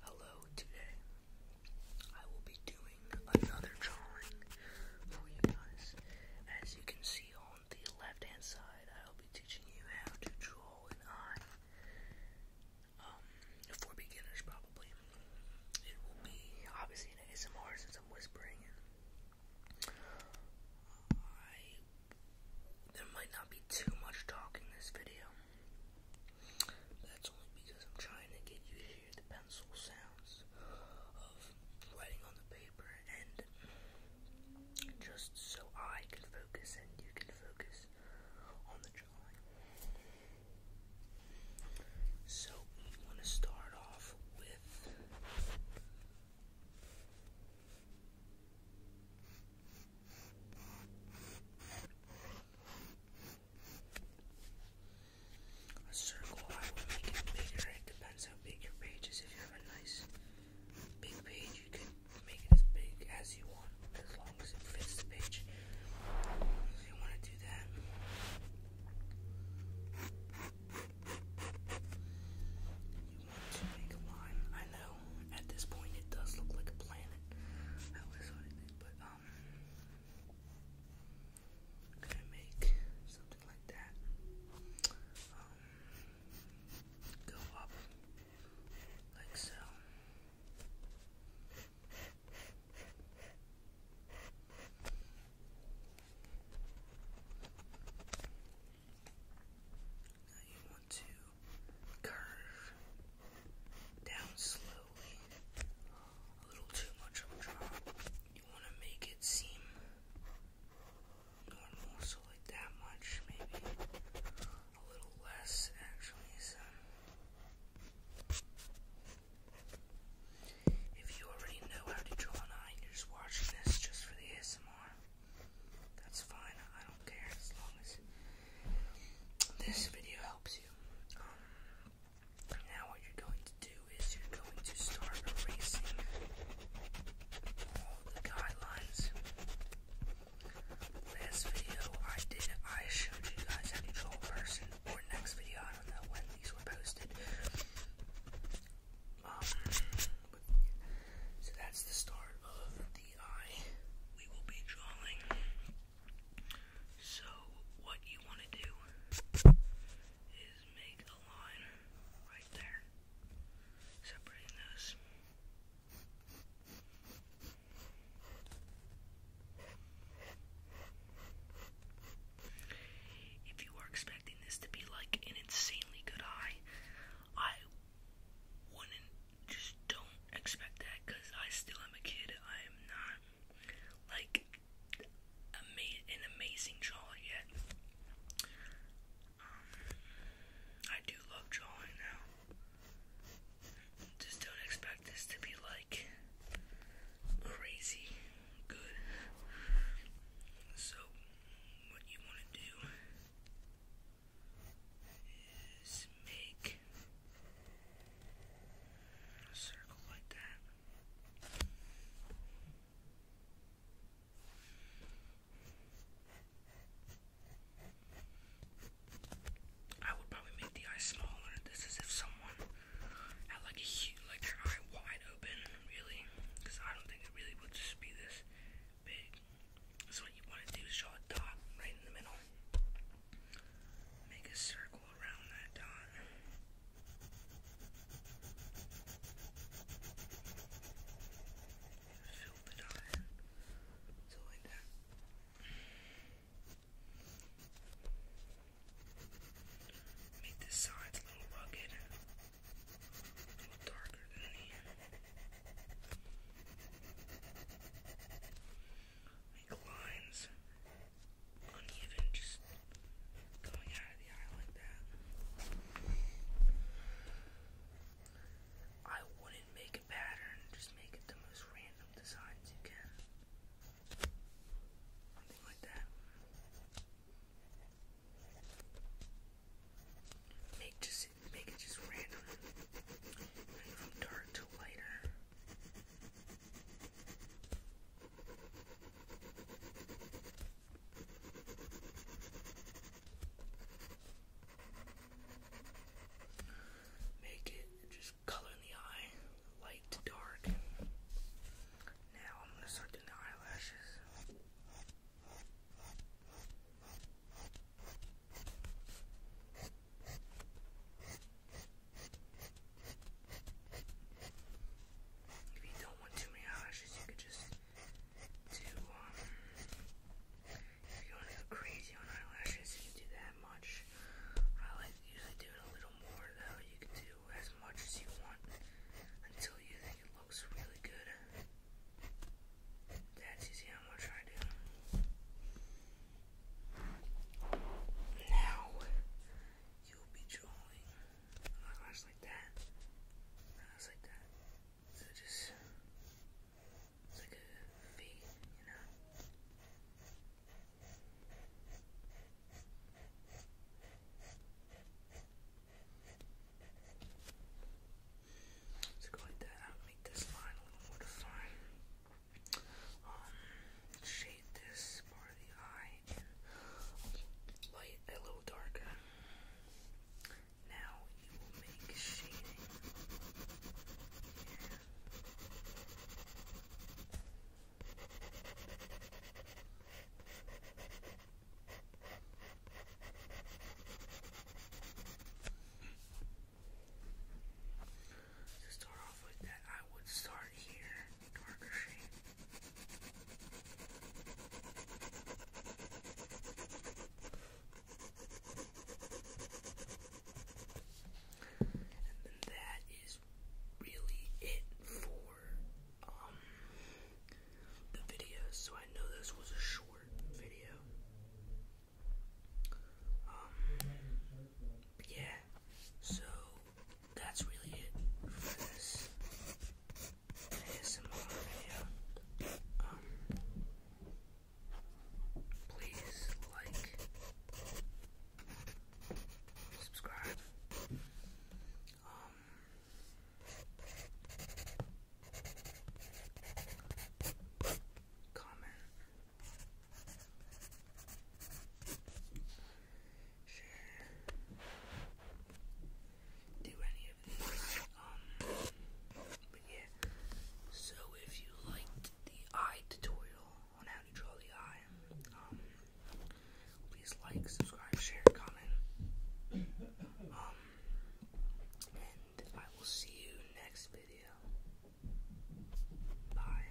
Hello, today I will be doing another drawing for you guys. As you can see on the left hand side, I will be teaching you how to draw an eye. Um, for beginners, probably probably it will be obviously an ASMR since I'm whispering there might not be too much talk in this video. That's only because I'm trying to get you to hear the pencil sounds of writing on the paper and just so I can focus and you can focus on the drawing. So we want to start off with a circle. I will make it bigger. It depends how big your page is. If you have a nice big page, you can make it as big as you want, as long as it fits the page. I want to do that. I know at this point it does look like a planet. but um, gonna make something like that. Um, go up like so. Now you want to curve down slowly, a little too much of a drop. You want to make it seem normal, so like that much, maybe a little less actually. If you already know how to draw an eye you're just watching this just for the ASMR, that's fine. I don't care as long as this video helps you. Um, now, what you're going to do is you're going to start erasing all the guidelines last video I did, I showed you guys how to draw a person, or next video, I don't know when these were posted. Um, so that's the start of the eye. We will be drawing. So, what you want to do is make a line right there, separating those. If you were expecting this to be like an insanely good high, I wouldn't just don't expect that because I still am a kid. I am not like ama an amazing drawer yet. Um, I do love drawing now. Just don't expect this to be like crazy good. So, what you want to do is make a circle like that. I would probably make the eyes smaller. This is if someone had like a huge, like their eye wide open, really, because I don't think it really would just be this big. So what you want to do is draw a dot right in the middle. Make a circle around that dot. Fill the dot in. So like that. Make this side's a little rugged, a little darker than here. Make lines uneven, just going out of the eye like that. I wouldn't make a pattern, just make it the most random designs you can. Something like that. Make just make it just random. from dark to lighter. Make it just color in the eye, light to dark. Now I'm gonna start doing the eyelashes. If you don't want too many eyelashes, you could just to, if you want to go crazy on eyelashes, you can do that much. I like usually do it a little more, though. You can do as much as you want until you think it looks really good. That's easy how much I do. Now, you'll be drawing an like that. Eyelash like that. So just like a a V, you know. Let's go like that. make this line a little more defined. shade this part of the eye light a little darker. Now you will make shading To start off with that, I would start here, darker shade. And that is really it for um, the video. So I know this was a short video. Um, yeah. So that's really it for this. ASMR video. please like, subscribe. comment, share, um, so if you liked the eye tutorial on how to draw the eye, um, please like, subscribe, share, comment. Um, and I will see you next video. Bye.